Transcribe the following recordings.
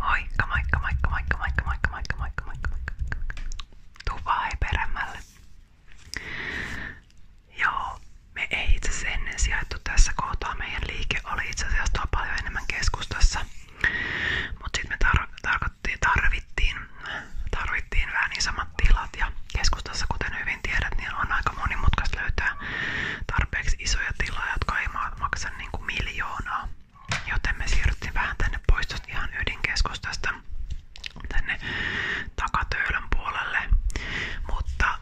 Moikka, moikka, moikka, moikka, moikka, moikka, moikka, moikka, moikka, moikka. Tuu vaan peremmälle. Joo, me ei itse asiassa ennen sijaittu tässä kohtaa. Meidän liike oli itse asiassa tuo paljon enemmän keskustassa. Mutta sitten me tar tarkoitti, tarvittiin, tarvittiin vähän niin samat tilat. Ja keskustassa, kuten hyvin tiedät, niin on aika monimutkaista löytää tarpeeksi isoja tiloja, jotka ei maksa niinku miljoonaa. Joten me siirryttiin vähän tänne pois tuosta ihan ydinkeskustasta tänne takatöölön puolelle. Mutta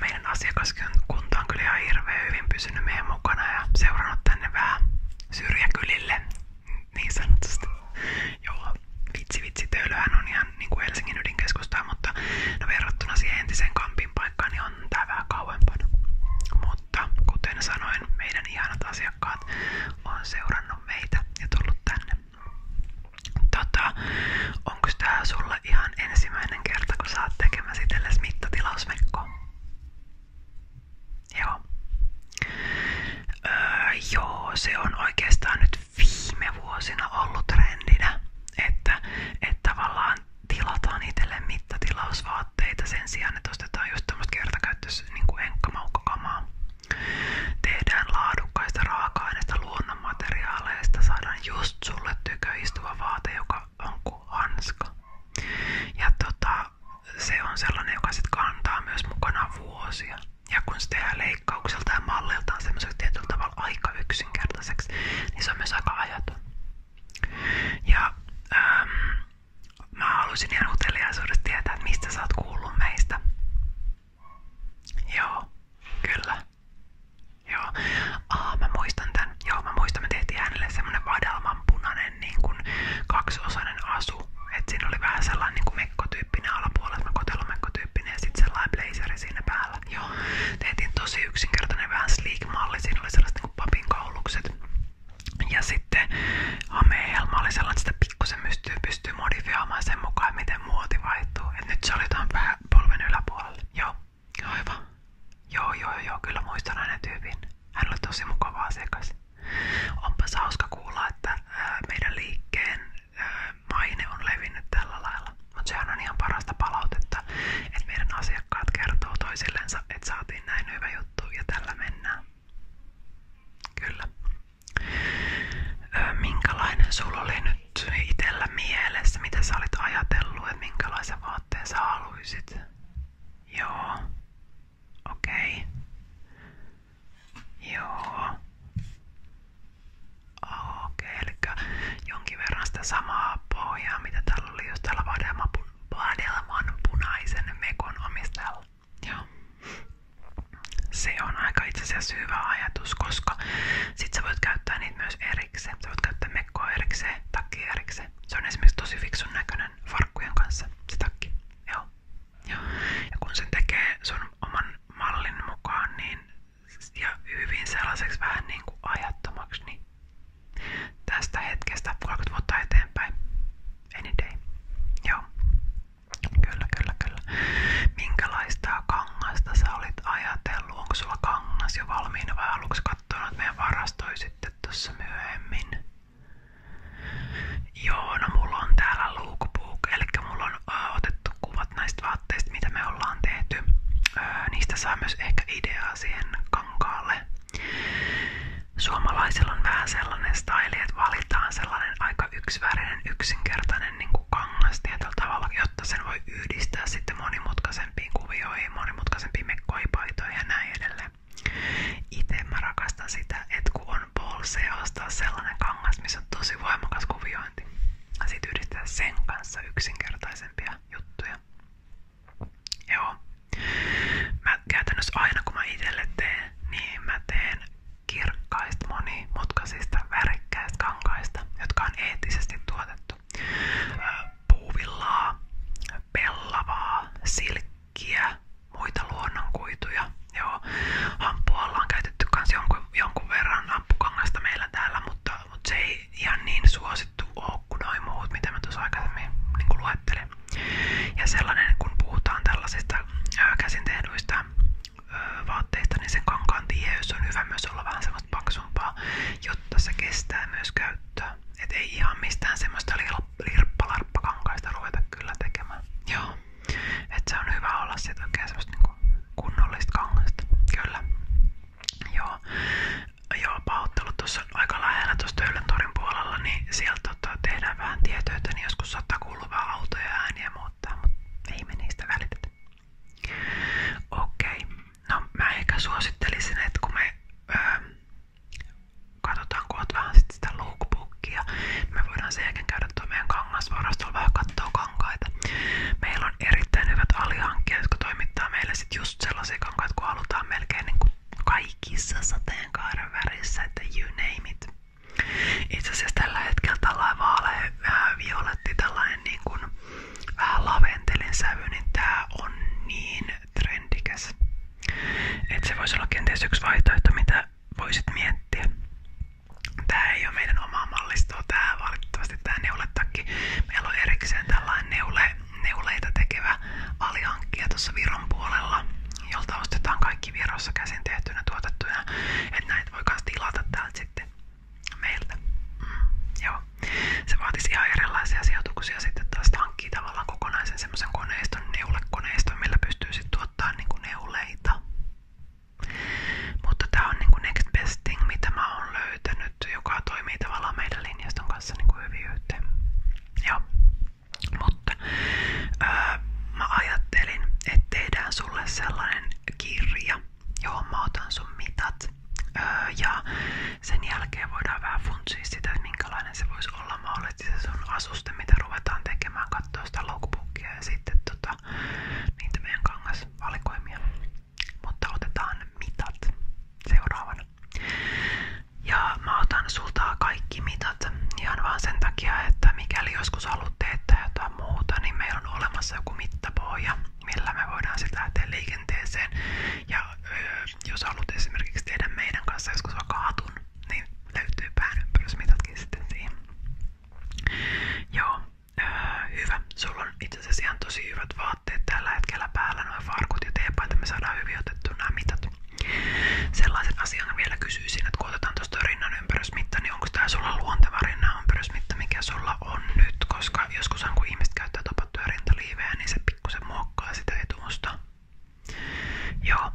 meidän asiakaskunta on kyllä hyvin pysynyt meidän mukana ja seurannut tänne vähän syrjäkylille niin sanotusti. Joo, vitsi vitsi töölöhän on ihan niin kuin Helsingin ydinkeskustaa, mutta no verrattuna siihen entiseen kamp lämmin niin on tää kauempana. Mutta kuten sanoin, meidän ihanat asiakkaat on seurannut meitä ja tullut tänne. Tota, onko tää sulle ihan ensimmäinen kerta, kun sä oot tekemässä itsellesi mittatilausmekkoa? Öö, joo. se on oikeastaan nyt viime vuosina ollut trendinä, että, että tavallaan tilataan itselle mittatilausvaatteita sen sijaan, että ostetaan just tämmöistä kertakäyttöistä niin enkkamaukkokamaa. Tehdään laadukkaista raaka-aineista luonnonmateriaaleista, saadaan just sulle tykö istuva vaate, joka on kuin hanska. Ja tota, se on sellainen, joka sit kantaa myös mukana vuosia. Ja kun se tehdään leikkaukselta ja malliltaan semmoiseksi tietyllä tavalla aika yksinkertaiseksi, niin se on myös aika ajaton. Ja ähm, mä halusin ihan uteliaisuudesta tietää, mistä sä oot meistä. Joo, kyllä. Joo. mä muistan tän. Joo, mä muistan, me tehtiin hänelle semmonen niin kuin kaksiosainen asu. Et siinä oli vähän sellainen niin kuin mekkotyyppinen alapuolella, mekkotyyppinen ja sitten sellainen blazeri sinne päällä. Joo, tehtiin tosi yksinkertainen vähän sleek-malli. Siinä oli sellaiset niin papin kaulukset. Ja sitten hamehelma oli sellainen, että sitä pikkusen pystyy, pystyy modifioimaan sen mukaan, miten muoti vaihtuu. Et nyt se oli tuon polven yläpuolelle. Joo, aivan. Joo, joo, joo, kyllä muistan aina tyypin. Hän oli tosi mukava asiakas. Onpas hauska kuulla, että ää, meidän liikkeen ää, maine on levinnyt tällä lailla. Mutta sehän on ihan parasta palautetta, että meidän asiakkaat kertoo toisillensa, että saatiin näin hyvä juttu ja tällä mennään. Kyllä. Ö, minkälainen itellä mielessä, mitä sä ajatellut, minkälaisen vaatteen sä Joo. Okei. Joo. Okei, okay, jonkin verran sitä samaa pohjaa, mitä täällä oli just täällä Vadelman punaisen mekon omistajalla. Joo. Se on aika itse asiassa hyvä ajatus, koska sit sä voit käyttää niitä myös erikseen. Sä voit käyttää mekkoa erikseen, takki erikseen. Se on esimerkiksi tosi fiksun näköinen farkkujen kanssa, se takki. Joo. Joo. Ja kun sen tekee sun oman mallin mukaan, niin ja hyvin sellaiseksi vähän niin kuin ajattomaksi, niin tästä hetkestä 20 vuotta eteenpäin. Joo. Kyllä, kyllä, kyllä. Minkälaista kangasta sä olit ajatellut? kangas jo valmiina vai meidän varastoi Joo, no mulla on täällä lookbook, eli mulla on äh, otettu kuvat näistä vaatteista, mitä me ollaan tehty. Äh, niistä saa myös ehkä ideaa laittaa siihen kankaalle. Suomalaisilla on vähän sellainen style, että valitaan sellainen aika yksivärinen, yksinkertainen niin kuin kangas tietyllä tavalla, jotta sen voi yhdistää sitten monimutkaisempiin kuvioihin, monimutkaisempiin mekkoipaitoihin ja näin edelleen. Itse mä rakastan sitä, että kun on polsee ostaa sellainen kangas, missä on tosi voimakas kuviointi. Sitten yhdistää sen kanssa yksinkertaisempia juttuja. Joo. Mä käytännössä aina kun mä itelle teen, niin mä teen kirkkaista monimutkaisista värikkäistä kankaista, jotka on eettisesti tuotettu. Puuvillaa, pellavaa, silkkiä, muita luonnonkuituja. Joo, hamppua ollaan käytetty kans jonkun, jonkun verran hampukangasta meillä täällä, mutta, mutta se ei ei ihan niin suosittu ole kuin noi muut, mitä mä tuossa aikaisemmin niin luettelin. Ja sellainen, kun puhutaan tällaisista käsin tehdyistä ää, vaatteista, niin sen kankaan tiheys on hyvä myös olla vähän semmoista paksumpaa, jotta se kestää myös käyttöä. Et ei ihan mistään semmoista lirppalarppakankaista ruveta kyllä tekemään. Joo. että se on hyvä olla sit oikein semmoista niinku kunnollista kangasta. Kyllä. Joo, joo pahoittelut tuossa aika lähellä tuossa Töyläntorin puolella, niin sieltä tota, tehdään vähän tietöitä, niin joskus saattaa kuulua vähän autoja ja ääniä muuttaa, mutta ei me niistä välitetä. Okei, okay. no mä ehkä suosittelisin, että kun me öö, katsotaan, kun oot vähän sit sitä lookbookia, niin me voidaan sen jälkeen käydä tuo meidän kangasvarastolla vähän katsoa kankaita. Meillä on erittäin hyvät alihankkijat, jotka toimittaa meille sit just just sellaisia kankaita, kun halutaan melkein niin kuin kaikissa sateenkaaren värissä, että you name it. Itse asiassa tällä hetkellä tällainen vaale, vähän violetti, tällainen niin kuin vähän laventelin sävy, niin tää on niin trendikäs. Että se voisi olla kenties yksi vaihtoehto, mitä voisit miettiä. Tää ei ole meidän omaa mallistoa, tää valitettavasti mukavasti tää neuletakki. Meillä on erikseen tällainen neule, neuleita tekevä alihankkija tuossa Viron puolella, jolta ostetaan kaikki Virossa käsin tehtynä tuotettuja. Että näitä voi myös tilata täältä sitten meiltä. Mm, joo. Se vaatisi ihan erilaisia sijoituksia sitten taas hankkii tavallaan kokonaisen semmoisen koneiston, neulekoneiston, millä pystyy sitten tuottaa niinku neuleita. Mutta tää on niinku next best thing, mitä mä oon löytänyt juttu, joka toimii tavallaan meidän linjaston kanssa niin kuin hyvin yhteen. Joo. Mutta öö, mä ajattelin, että tehdään sulle sellainen kirja, johon mä otan sun mitat. Öö, ja sen jälkeen voidaan vähän funtsia sitä, että minkälainen se voisi olla mahdollisesti se sun asuste, mitä ruvetaan tekemään, katsoa sitä logbookia ja sitten tota, niitä meidän kangasvalikoimia. Mutta otetaan mitat seuraavana. Ja mä otan sulta kaikki mitat ihan vaan sen takia, että mikäli joskus haluat teettää jotain muuta, niin meillä on olemassa joku mittapohja, millä me voidaan sitä lähteä liikenteeseen. Ja öö, jos haluat esimerkiksi tehdä meidän kanssa joskus vaikka hatun, niin löytyy pään ympärysmitatkin sitten siihen. Joo, öö, hyvä. Sulla on itse asiassa ihan tosi hyvät vaatteet tällä hetkellä päällä, noin farkut ja teepaita, me saadaan hyvin otettua nämä mitat. Sellaisen asian vielä kysyisin, että kun otetaan tuosta rinnan ympärysmitta, niin onko tää sulla luonteva rinnan ympärysmitta, mikä sulla on nyt? Koska joskushan kun ihmiset käyttää topattuja rintaliivejä, niin se pikkusen muokkaa sitä etumusta. Joo,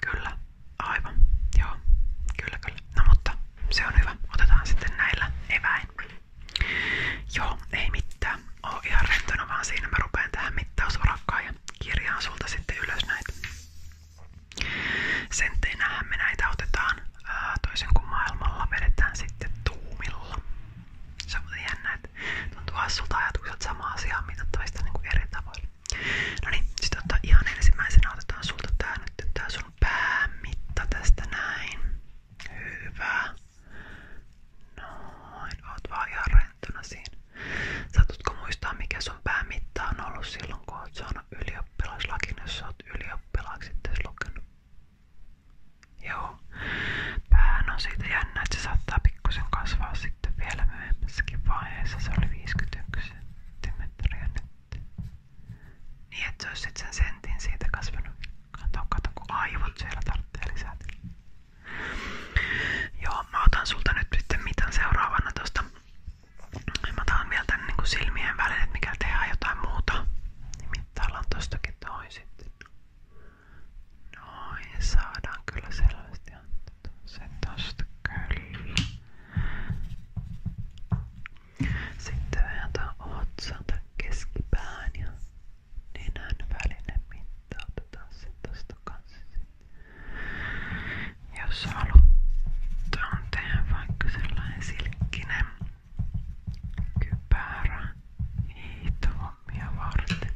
kyllä, aivan, joo, kyllä kyllä. No mutta se on hyvä, otetaan sitten näillä eväin. Joo, ei mitään. Oon ihan rentona vaan siinä mä rupeen tähän mittausorakkaan ja kirjaan sulta sitten ylös näitä. Sentteinähän me näitä otetaan ää, toisen kuin maailmalla, vedetään sitten tuumilla. Se on jännä, että tuntuu hassulta ajatukset sama asiaa mitattavista niin kuin eri tavoilla. No niin, sitten ottaa ihan ensimmäisenä otetaan sulta tää nyt, tää sun päämitta tästä näin. Hyvä. Noin. Oot vaan ihan rentona muistaa mikä sun on ollut silloin kun oot saanut ylioppilaslakin, jos oot Joo. Päähän on siitä se saattaa pikkusen kasvaa sitten vielä myöhemmässäkin vaiheessa. oli 51 cm nyt. Niin, että sen sentin siitä kasvanut. Kato, kato, kun aivot siellä tarvitsee lisää Joo, mä otan sulta nyt sitten mitään seuraavana tosta. Mä otan vielä tänne niin silmien väliin, että mikä tehdään jotain muuta. Nimittäin ollaan tostakin toi sitten. Noin, saadaan kyllä selvästi antaa se tosta kyllä. Sitten vääntää otsan tai keskipään ja nenän välinen mitta otetaan sitten tosta kanssa. Jos halutaan tehdä vaikka sellainen silkkinen kypärä hiihtohommia varten.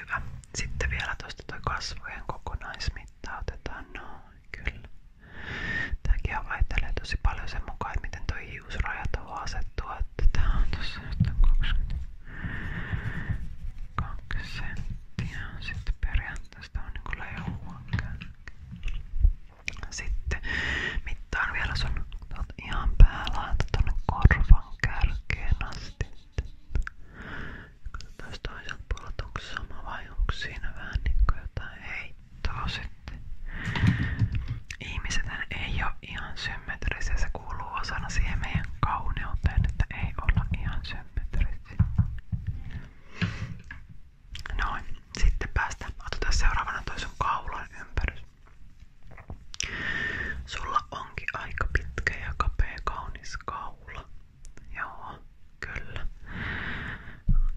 Hyvä. Sitten vielä tuosta tuo kasvojen kokonaismitta otetaan noin, kyllä. Tämäkin vaihtelee tosi paljon sen mukaan, että miten toi hiusraja tuohon asettuu. Että tää on tossa nyt on 22 senttiä. Sitten periaatteessa on niinku leihuun Sitten mittaan vielä sun ihan päälaita tonne korvan kärkeen asti. Katsotaan toiselta puolelta, onko sama vai onko siinä vähän niinku jotain hei auttaa sitten. Ihmisethän ei ole ihan symmetrisiä, se kuuluu osana siihen meidän kauneuteen, että ei olla ihan symmetrisiä. Noin, sitten päästään. Otetaan seuraavana toi sun kaulan ympärys. Sulla onkin aika pitkä ja kapea kaunis kaula. Joo, kyllä.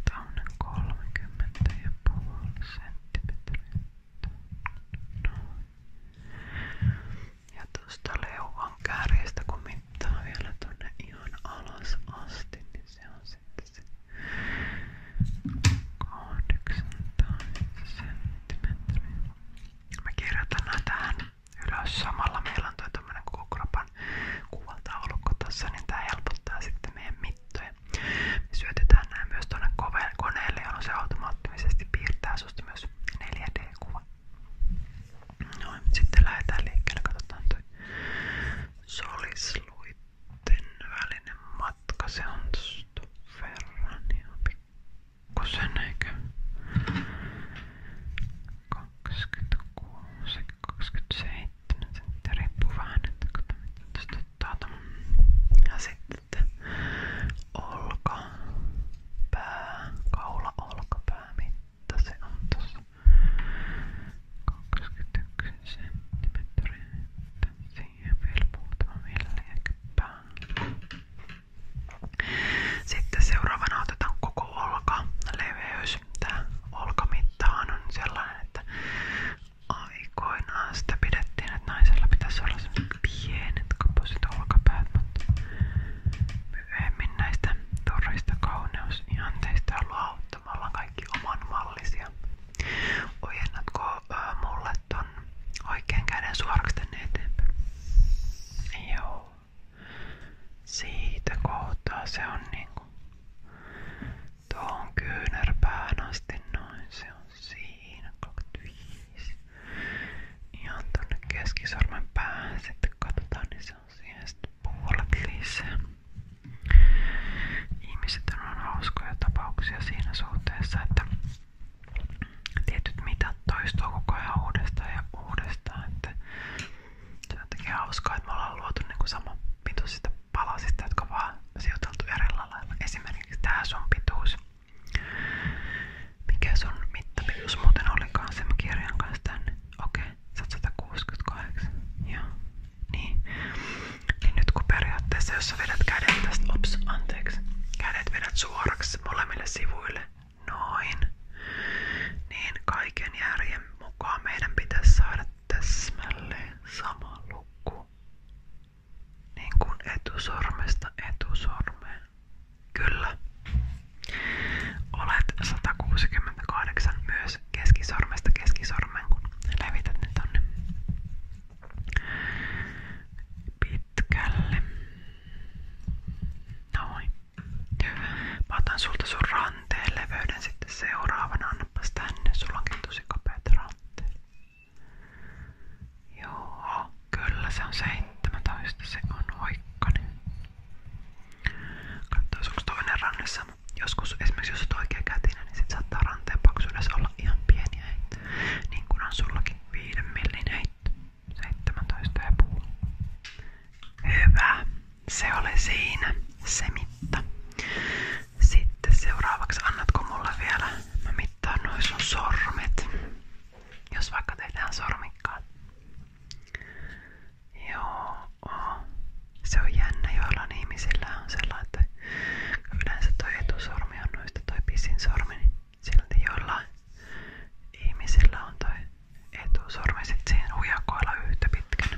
Kaunen 30 ja puoli senttimetriä. Noin. Ja tuosta leuan kärjestä kun mittaa vielä tonne ihan alas niin ylös samalla. Meillä on toi tämmönen kuvaltaulukko tässä, niin tää helpottaa sitten meidän mittoja. Me syötetään nämä myös tuonne koneelle, jolloin se automaattisesti piirtää susta myös 4 d sitten lähdetään liikkeelle, katsotaan toi välinen matka, se on tuon verran ihan heittänyt että riippuu vähän nyt kun tuttaa ja sitten olka pää, kaula olkapää mitta se on tossa 21 senttimetriä siihen vielä muutama milliäkin sitten seuraavana otetaan koko olka leveys. Tää olkamittahan on sellainen, että aikoinaan sitä pidettiin, että naisella pitäisi olla sellaiset pienet kapoiset olkapäät, mutta myöhemmin näistä turhista kauneusihanteista on luovuttamalla kaikki oman mallisia. Ojennatko äh, mulle ton oikean käden suoraksi tänne eteenpäin? Joo. Siitä kohtaa se on niinku... Tuohon kyynärpään asti Se on siinä. 25. Ihan tonne keskisormen päähän sitten katsotaan, niin se Ihmiset on hauskoja tapauksia siinä suhteessa, että tietyt mitat toistuu koko ajan uudestaan ja uudestaan. Että se niinku sama pituisista palasista, jotka vaan sijoiteltu erillä Esimerkiksi tää sun pituus. Mikä sun mittapituus muuten olikaan sen kanssa Okei, okay, Joo. Niin. niin. Nyt kun periaatteessa, jos vedät kädet tästä, ops, anteeksi, kädet vedät suoraksi molemmille sivuille, noin, niin kaiken järjen mukaan meidän pitäisi saada täsmälleen sama luku. Niin kuin etusormesta etusormeen. Kyllä. Olet 168 myös keskisormesta keskisormeen, kun levität ne tonne Noin. Mä otan sulta sun ranteen leveyden sitten seuraavana. Annapas tänne, sulla onkin tosi Joo, kyllä se on 17, se on hoikkainen. Katsotaan, toinen ranne Joskus esimerkiksi jos olet oikea niin saattaa ranteen paksuudessa olla ihan pieniä Niin kuin on sullakin 5 millin heitto. 17,5. Hyvä. Se oli siinä se mitta. Sitten seuraavaksi annatko mulle vielä, mä mittaan noin sun sormet. Jos vaikka tehdään sormikkaan. Joo. Se on jännä, joillain ihmisillä on sellainen, että yleensä toi etusormi on noista toi pisin sormi, niin silti joillain ihmisillä on toi etusormi sit siihen hujakoilla yhtä pitkänä.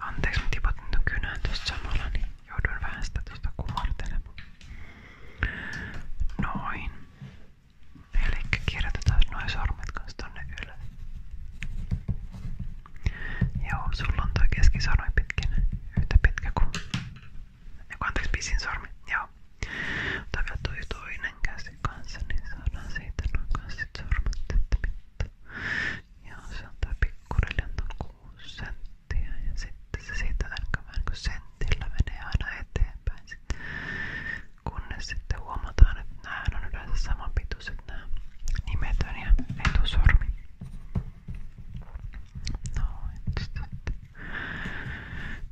Anteeksi, mä tipatin ton kynän tuossa samalla, niin jouduin vähän sitä tuosta kumartelemaan. Noin. Elikkä kirjoitetaan noin sormet kanssa tonne ylös. Joo, sulla on toi keskisormi pitkin. Yhtä pitkä kuin... Eiku, anteeksi, pisin sormi. Joo. Mutta vielä toi toinen käsi kanssa, niin saadaan siitä noin kanssa sit sormet, että ja sieltä pikkurille on 6 senttiä ja sitten se siitä vähän kun sentillä menee aina eteenpäin. Sitten. Kunnes sitten huomataan, että nämä on yleensä samanpituiset nämä nimetön ja etusormi. Noin. Sitten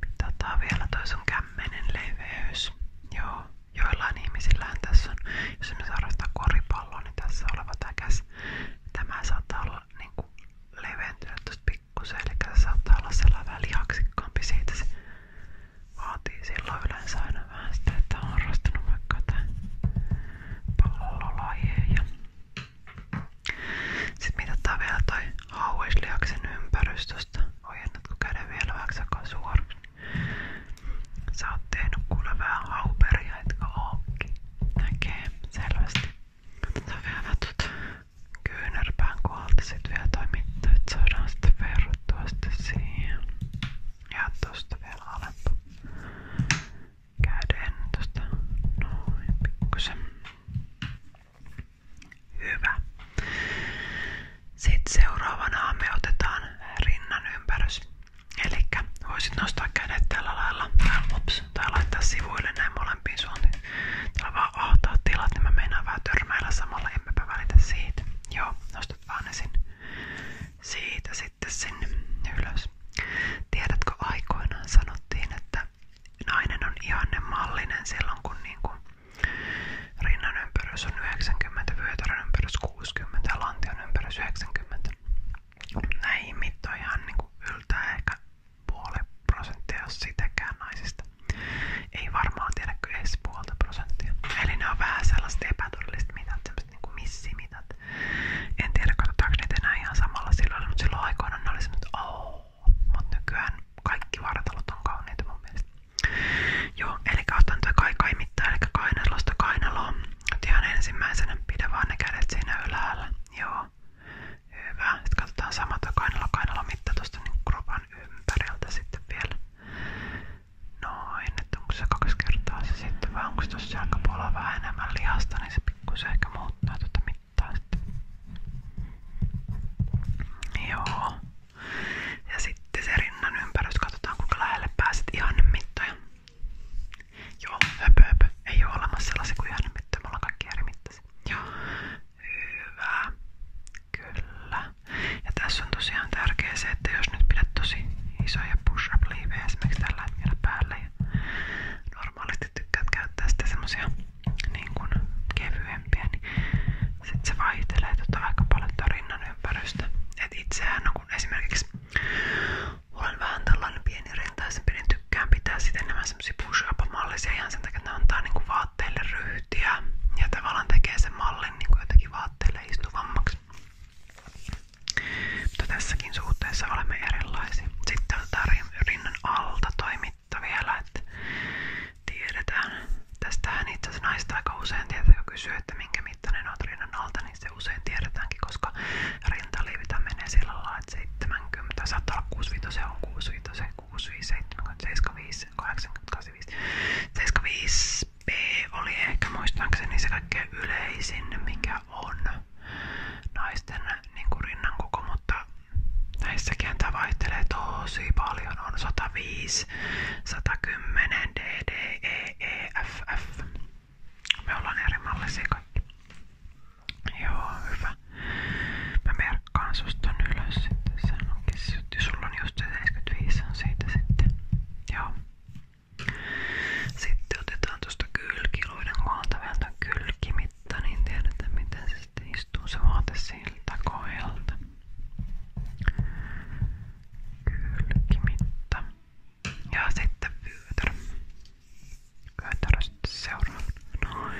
mitataan vielä toi sun kämmenen leveys. Joo, joillain ihmisillähän tässä on, jos me harrastaa koripalloa, niin tässä oleva täkäs, tämä saattaa olla niinku leventynyt tuosta pikkusen, eli se saattaa olla sellainen vähän lihaksikkaampi siitä. Se vaatii silloin yleensä aina vähän sitä, että on harrastanut vaikka jotain pallolajeja. Sitten mitataan vielä toi hauislihaksen ympärys tuosta. Ojennatko käden vielä vähän aikaa suoraksi? Niin Sä oot tehnyt kuule vähän hauperia, etkö ookki? Näkee selvästi. Otetaan vielä tuota kyynärpään kohdalta sit vielä toi mitta, et saadaan sitten verrattua sitten siihen. Ja tosta vielä alempa. Käden tosta noin pikkusen. Hyvä. Sitten seuraavana me otetaan rinnan ympärys. Eli voisit nostaa kädet tällä lailla tai, ups, tai laittaa sivuille näin molempiin suuntiin. Täällä vaan ahtaa tilat, niin mä meinaan vähän törmäillä samalla, emmepä välitä siitä. Joo, nostat vaan ne sinne. Siitä sitten sinne ylös. Tiedätkö, aikoinaan sanottiin, että nainen on ihanne mallinen silloin, kun niinku Rinnan ympärys on 90, vyötärön ympärys 60 ja lantion ympärys 90. Näihin mittoihin hän niinku yltää ehkä puoli prosenttia, jos sitäkään naisista. Ei varmaan tiedäkö edes puolta prosenttia. Eli ne on vähän sellaiset epätodelliset mitat, sellaiset niinku missimitat. En tiedä, katsotaanko niitä enää ihan samalla silloin, mutta silloin aikoinaan ne oli semmoinen, että oh. Mutta nykyään kaikki vartalot on kauniita mun mielestä. Joo, eli otan tätä kai kai eli kainalosta kainaloon. Nyt ihan ensimmäisenä pidä vaan ne kädet siinä ylhäällä. Joo. Hyvä. Sitten katsotaan sama tuo kainalo kainalo mitta niin kropan ympäriltä sitten vielä. Noin, että onko kaksi kertaa sitten vai onko niin se pikkusen ehkä muuttaa tuota mittaa sitten. Joo. Ja sitten se rinnan ympärys, katsotaan kuinka lähelle pääset ihannemittoja. Joo, höpö, höpö. Ei ole olemassa sellaisia kuin ihannemittoja, me ollaan kaikki eri mittaisia. Joo, hyvä. Kyllä. Ja tässä on tosiaan tärkeää se, että jos nyt pidät tosi isoja push-up liivejä esimerkiksi tällä hetkellä päälle ja normaalisti tykkäät käyttää sitten semmosia niin kuin kevyempiä, niin sitten se vaihtelee totta aika paljon tarinan ympäristö. Et itsehän on esimerkiksi olen vähän tällainen pieni rintaisempi, niin tykkään pitää sitten enemmän mallisia ihan sen takia, että ne antaa niinku vaatteille ryhtiä ja tavallaan tekee sen mallin niinku jotenkin vaatteille istuvammaksi. Mutta tässäkin suhteessa olemme erilaisia. Sitten on tota rinnan alta toimitta vielä, Tästähän itse asiassa naista usein tietää, kun kysyy, että minkä mittainen on rinnan alta, niin se usein tiedetäänkin, koska rintaliivitä menee sillä lailla, että 70, saattaa olla 65, se on 65, 65, 70, 75, 85, 75 B oli ehkä muistaakseni se kaikkein yleisin, mikä on naisten niin kuin rinnan koko, mutta näissäkin tämä vaihtelee tosi paljon, on 105 siis 110 DDEEFF. Me ollaan eri mallisia kaikki. Joo, hyvä. Mä merkkaan susta ylös sitten. Sen onkin, sulla on just se 75 on siitä sitten. Joo. Sitten otetaan tuosta kylkiluiden kohdalta vielä kylkimitta, niin tiedetään miten se sitten istuu se vaate siltä kohdalta kylkimitta. Ja sitten vyötärö. Vyötärö sitten seuraava. Noin.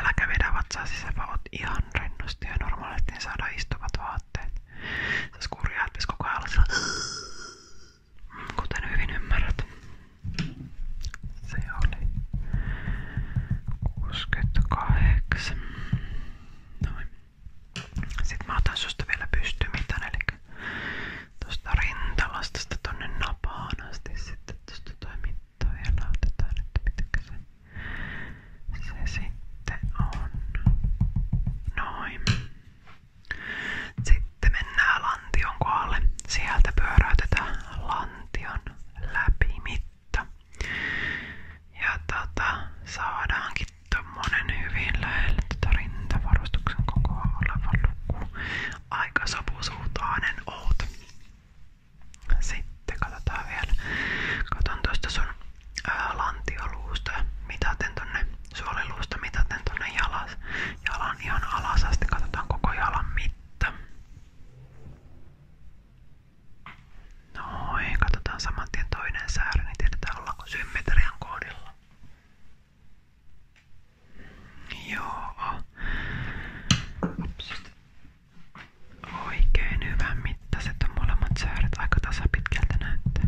Äläkä vedä vatsaa sisäpä, oot ihan rennosti ja normaalisti niin saada istuvat vaatteet. Sä kurjaa, että koko ajan Kuten hyvin ymmärrät. Se oli 68. Noin. Sitten mä otan susta vielä pystymitan, eli tuosta rintalastasta tonne napaan asti. Sitten tuosta toi vielä otetaan, että mitkä se, sitten on. Noin. Sitten mennään lantion kohdalle. Sieltä pyöräytetään lantion läpi mitta. Ja tota, saadaankin Tuommoinen hyvin lähellä tätä rintavarustuksen kokoa oleva luku. Aika sopusuhtainen oot. Sitten katsotaan vielä. Katon tuosta sun ää, lantioluusta mitaten tonne suoliluusta mitaten tonne jalas. Jalan ihan alas asti. Katsotaan koko jalan mitta. Noin, katsotaan saman tien toinen säärä, niin tiedetään ollaanko symmetrian kohdilla. Joo. Upsista. Oikein hyvän mittaiset on molemmat sääret. Aika tasapitkältä näyttää.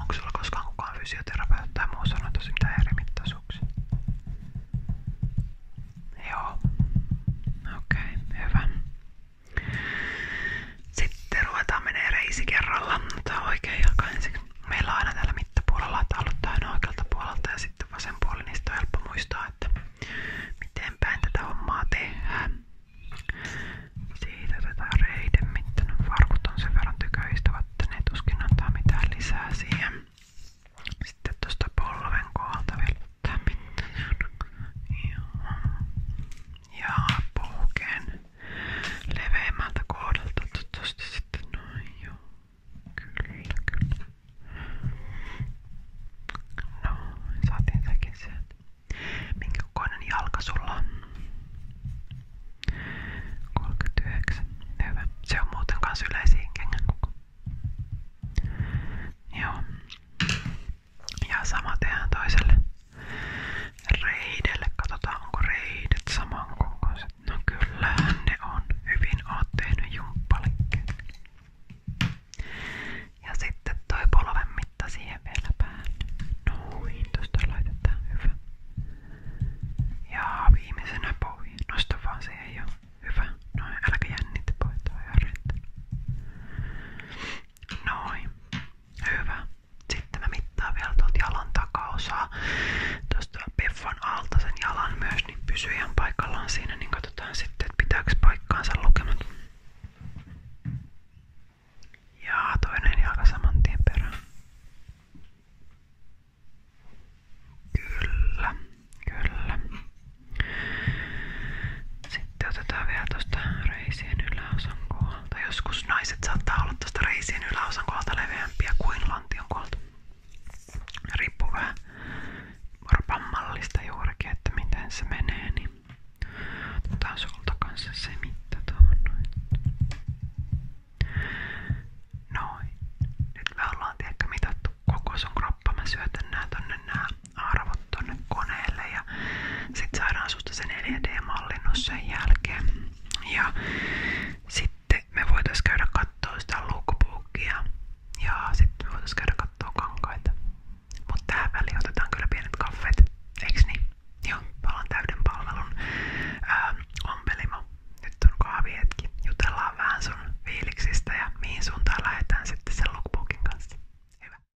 Onko sulla koskaan kukaan fysioterapeutti tai muu sanonut tosi mitään eri mittaisuuksia? Joo. Okei, okay, hyvä. Sitten ruvetaan menee reisi kerralla. Tää on oikein jalka ensiksi. Meillä on aina täällä mittapuolella, että aloittaa aina oikealta puolelta ja sitten vasen puoli, niin sitä on helppo muistaa, että miten päin tätä hommaa tehdään. Siitä tätä reiden mittainen farkut on sen verran tyköistävät, että ne tuskin antaa mitään lisää siihen. Sitten tuosta polven kohdalta vielä tää mittainen. Joo ja puhkeen leveämmältä kohdalta toivottavasti sitten noin joo. Kyllä, kyllä. No, saatiin sekin sieltä. Minkä kokoinen jalka sulla on? 39. Hyvä. Se on muuten kans yleisiin kengän koko. Joo. Ja sama tehdään toiselle reidelle. Katsotaan onko reidet samankokoiset. No kyllähän ne on. Hyvin oot tehnyt jumppalikkeen. Ja sitten toi polven mitta siihen vielä päälle. Noin, tosta laitetaan hyvä. Ja viimeisenä pohja. Nosta vaan se ei oo hyvä. No, Noin, äläkä jännitä pohjaa. Noin. Hyvä. Sitten mä mittaan vielä tuolta jalan takaosaa. Tuosta peffon alta sen jalan myös, niin pysyy ihan paikallaan siinä, niin katsotaan sitten, että pitääkö paikkaansa lukemat. Ja toinen jalka saman tien perään. Kyllä, kyllä. Sitten sitten otetaan vielä tuosta reisien yläosan kohdalta. Joskus naiset saattaa olla tuosta reisien yläosan kohdalta leveämpiä kuin lantion kohdalta. Riippuu vähän miten se menee. Niin otetaan sulta kanssa se mitta noin. Noin. Nyt me ollaan ehkä koko sun kroppa. Mä syötän nää tonne nää arvot tonne koneelle ja sit saadaan susta se 4D-mallinnus sen jälkeen. Ja sitten me voitais käydä kattoo sitä lookbookia ja sitten me voitais käydä kattoo kankaita. Mut tähän väliin otetaan kyllä pienet kaffeet, eiks niin? Joo, palaan täyden palvelun öö, ompelimo. Nyt on kahvihetki. Jutellaan vähän sun fiiliksistä ja mihin suuntaan lähdetään sitten sen lookbookin kanssa. Hyvä.